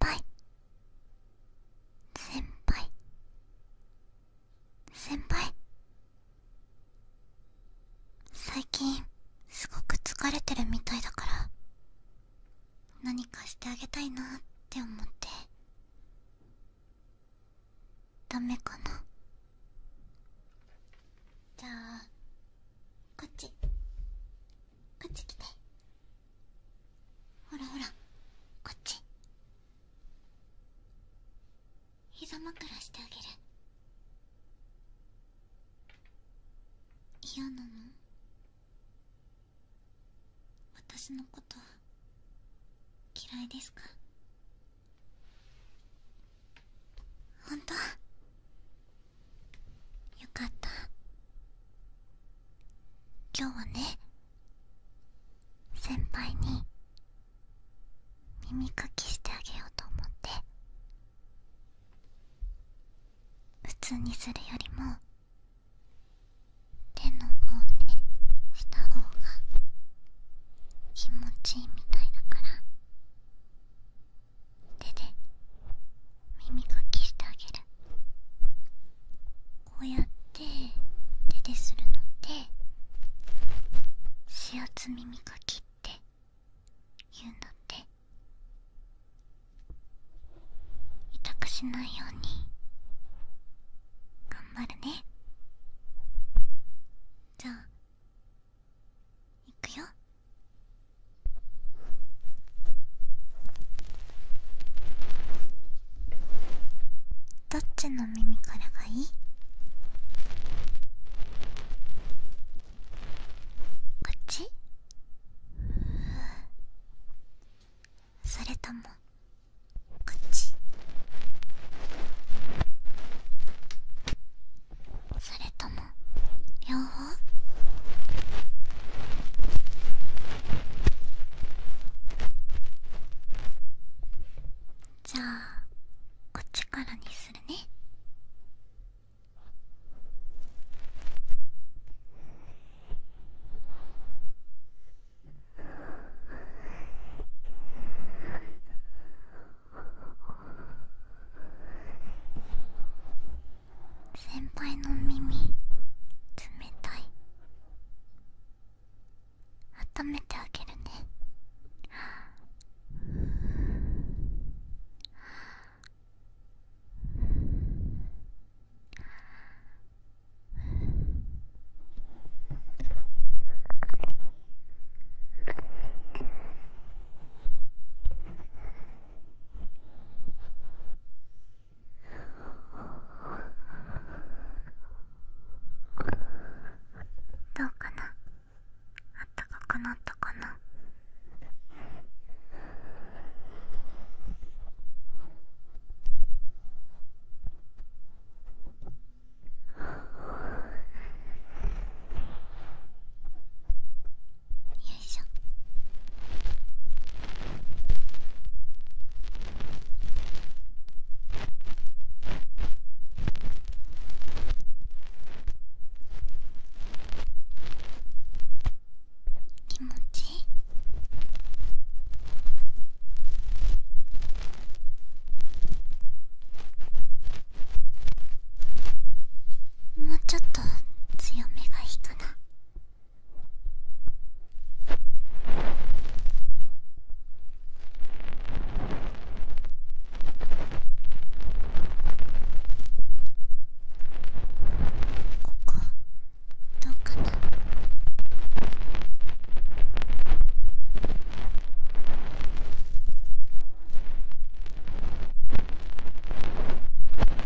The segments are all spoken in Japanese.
輩先輩先輩最近すごく疲れてるみたいだから何かしてあげたいなって思ってダメかなじゃあこっちこっち来て。ほらほらこっち膝枕してあげる嫌なの私のこと嫌いですか本当よかった今日はね先輩に耳かきしてあげようと思って普通にするよりも手の甲でした方が気持ちいいみたいだから手で耳かきしてあげるこうやって手でするのって指圧耳かきって言うのだって痛くしないように頑張るねじゃあいくよ。どっちの耳からがいいこそれともこそれとも両じゃあこっちからにするね先輩の耳冷たい温めてあげるねあどうかなあったかくなったかなよいしょ気持ちいいもうちょっと強めが引くな。ここどうか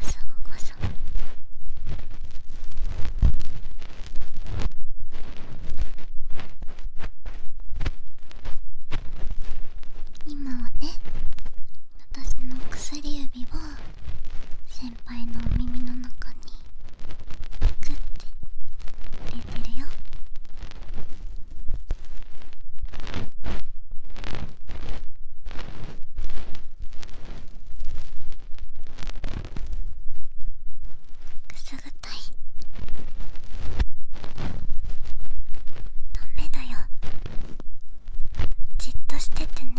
シャゴ今はね私の薬指を先輩のお耳の中にグッて入れてるよくすぐったいダメだよじっとしててねう。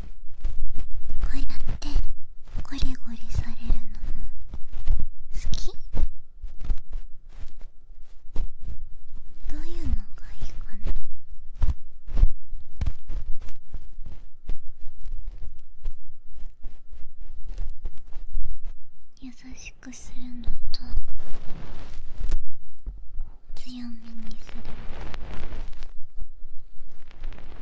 こうやってゴリゴリされるのも好きどういうのがいいかな優しくするのと強めにするの？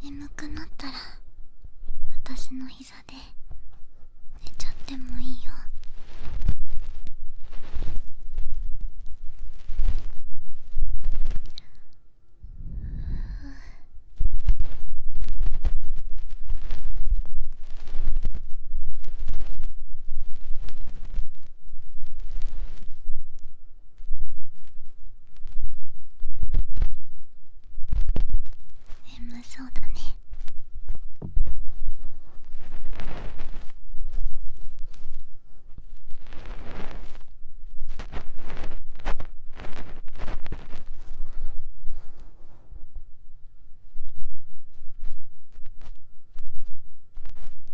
眠くなったら私の膝で寝ちゃってもいいよ眠そうだね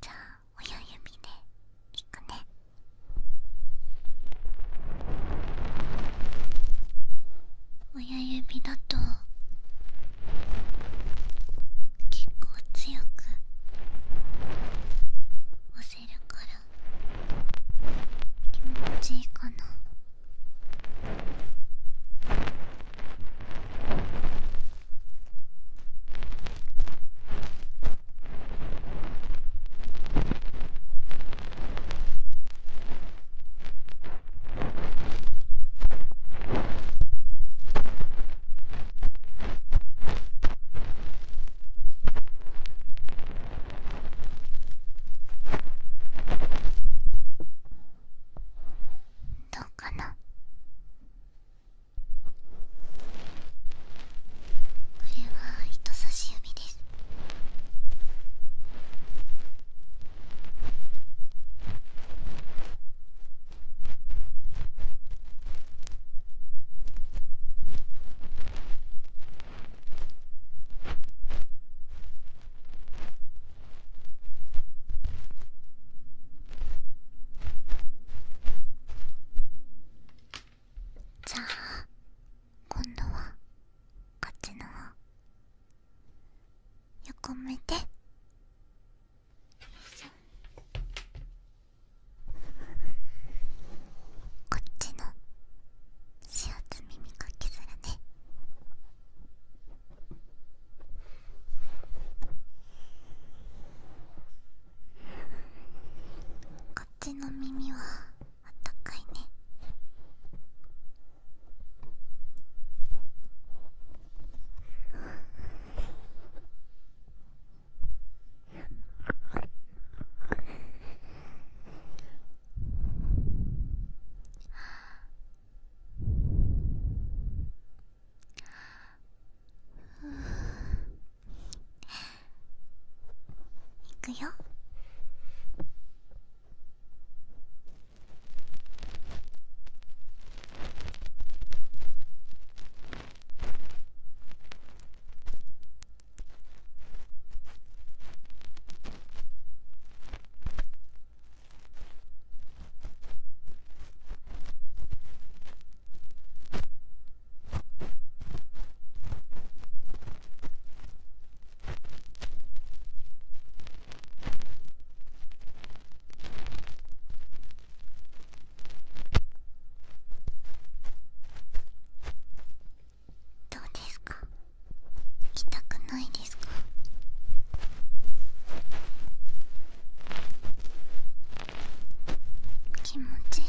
じゃあ親指でいくね親指だと結構強く押せるから気持ちいいかなどうかなれは人差し指ですじゃあ今度はこっちの横向いてよいしょこっちの指圧耳かきするね。こっちの耳はあったかいねいくよどうですか痛くないですか気持ちいい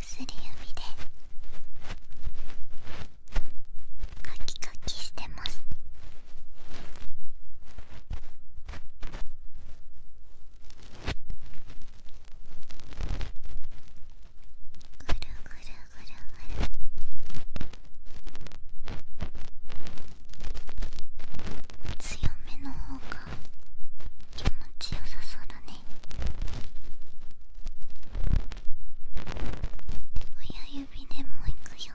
薬指でカキカキしてますぐるぐるぐるぐる。強めの方が気持ちよさそうだね親指でもいくよ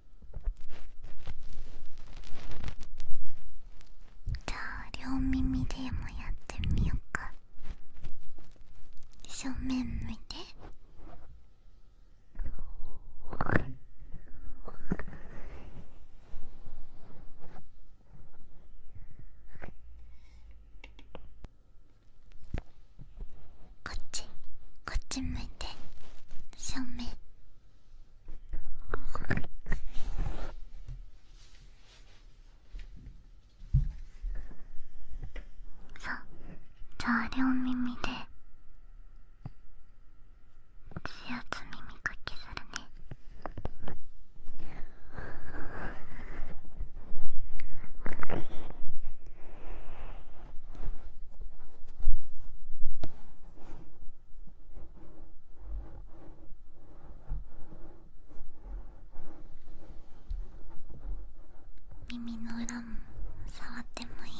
じゃあ両耳でもやってみようか正面向いてこっちこっち向いて正面そうじゃあ両耳で強つ耳かきするね耳耳の裏も触ってもいい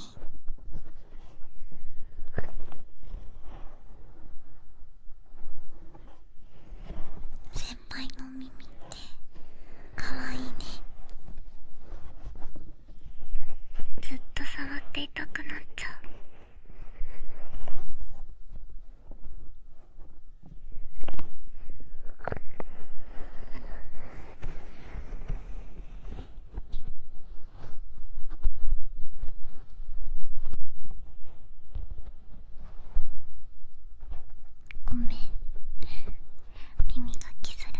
先輩の耳ってかわいいねずっと触っていたくなっちゃうごめん耳がきずるね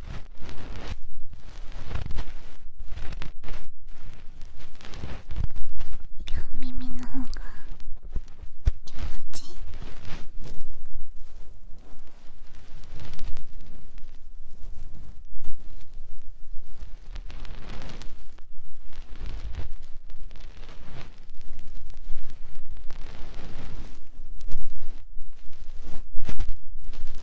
両耳の方が気持ちいい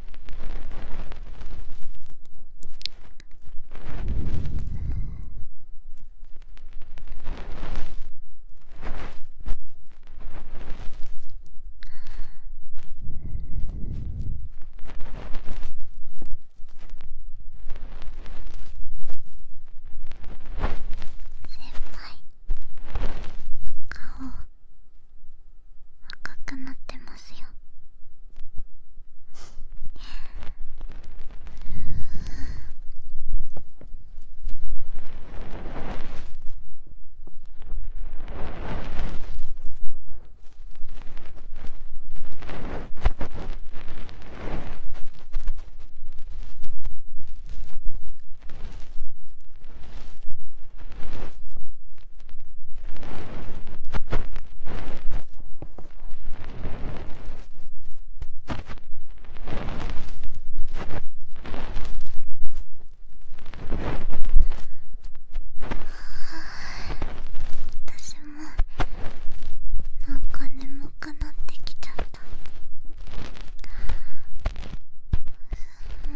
先輩赤くなってますよあ私もなんか眠くなってきちゃった。うん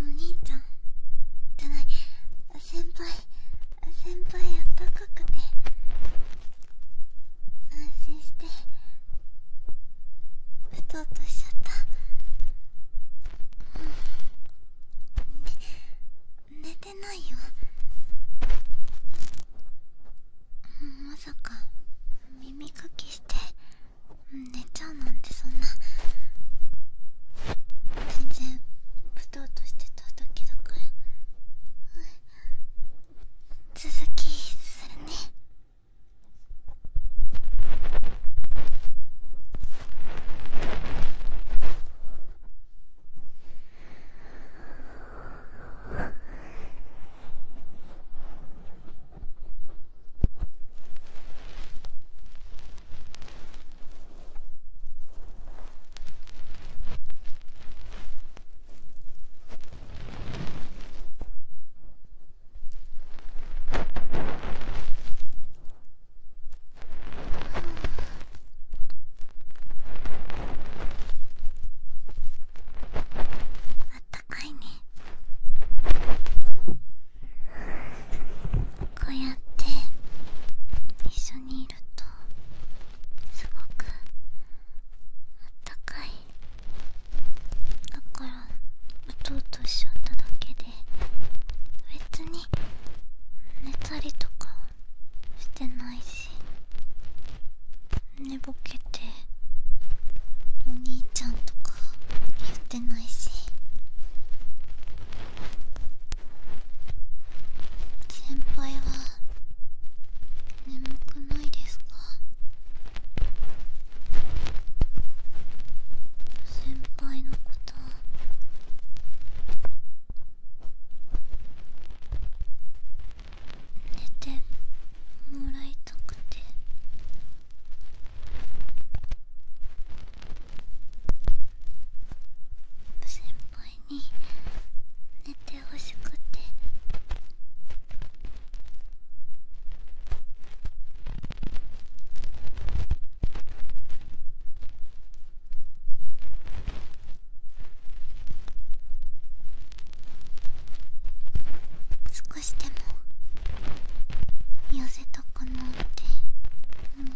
お兄ちゃんじゃない先輩先輩あったかくて安心してうとうとしちゃった、うん、寝てないよまさか耳かきして寝ちゃうなんてそんな全然ぶとうとしてただけだから、続きするねあった。かいこうやって一緒にいるとすごくあったかいだから弟としちゃっただけで別に寝たりとかしてないし寝ぼけてお兄ちゃんとか言ってないし先輩は眠くないですか先輩のこと寝てもらいたくて。先輩に寝てほしくて少しでも痩せたかなって思って。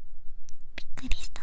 びっくりした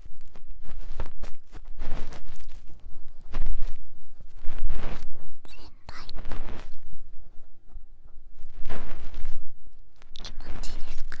全体。気持ちいいですか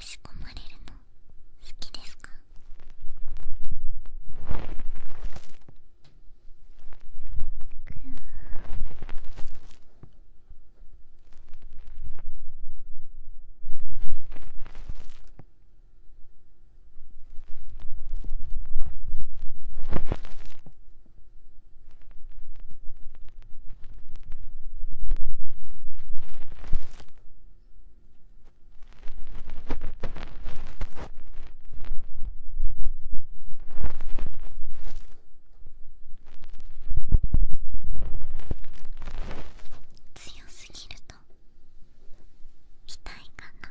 し込まれるの好きですかあ強すぎると痛いかな。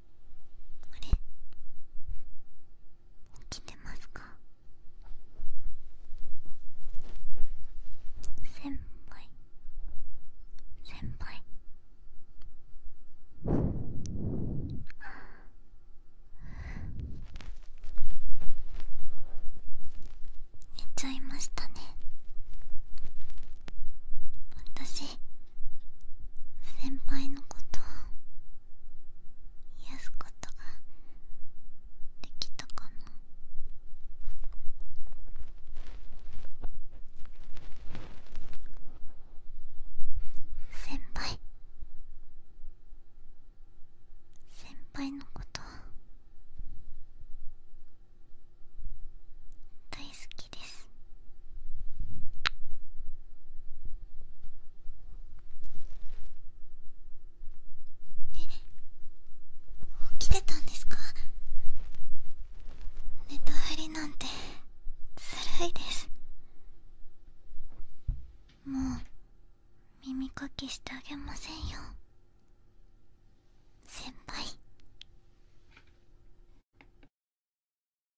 あれ起きてますか先輩先輩寝ちゃいましたね私先輩のことを癒すことができたかな先輩先輩のこと大好ききでえ起きてたんですか寝たふりなんてずるいですもう耳かきしてあげませんよ先輩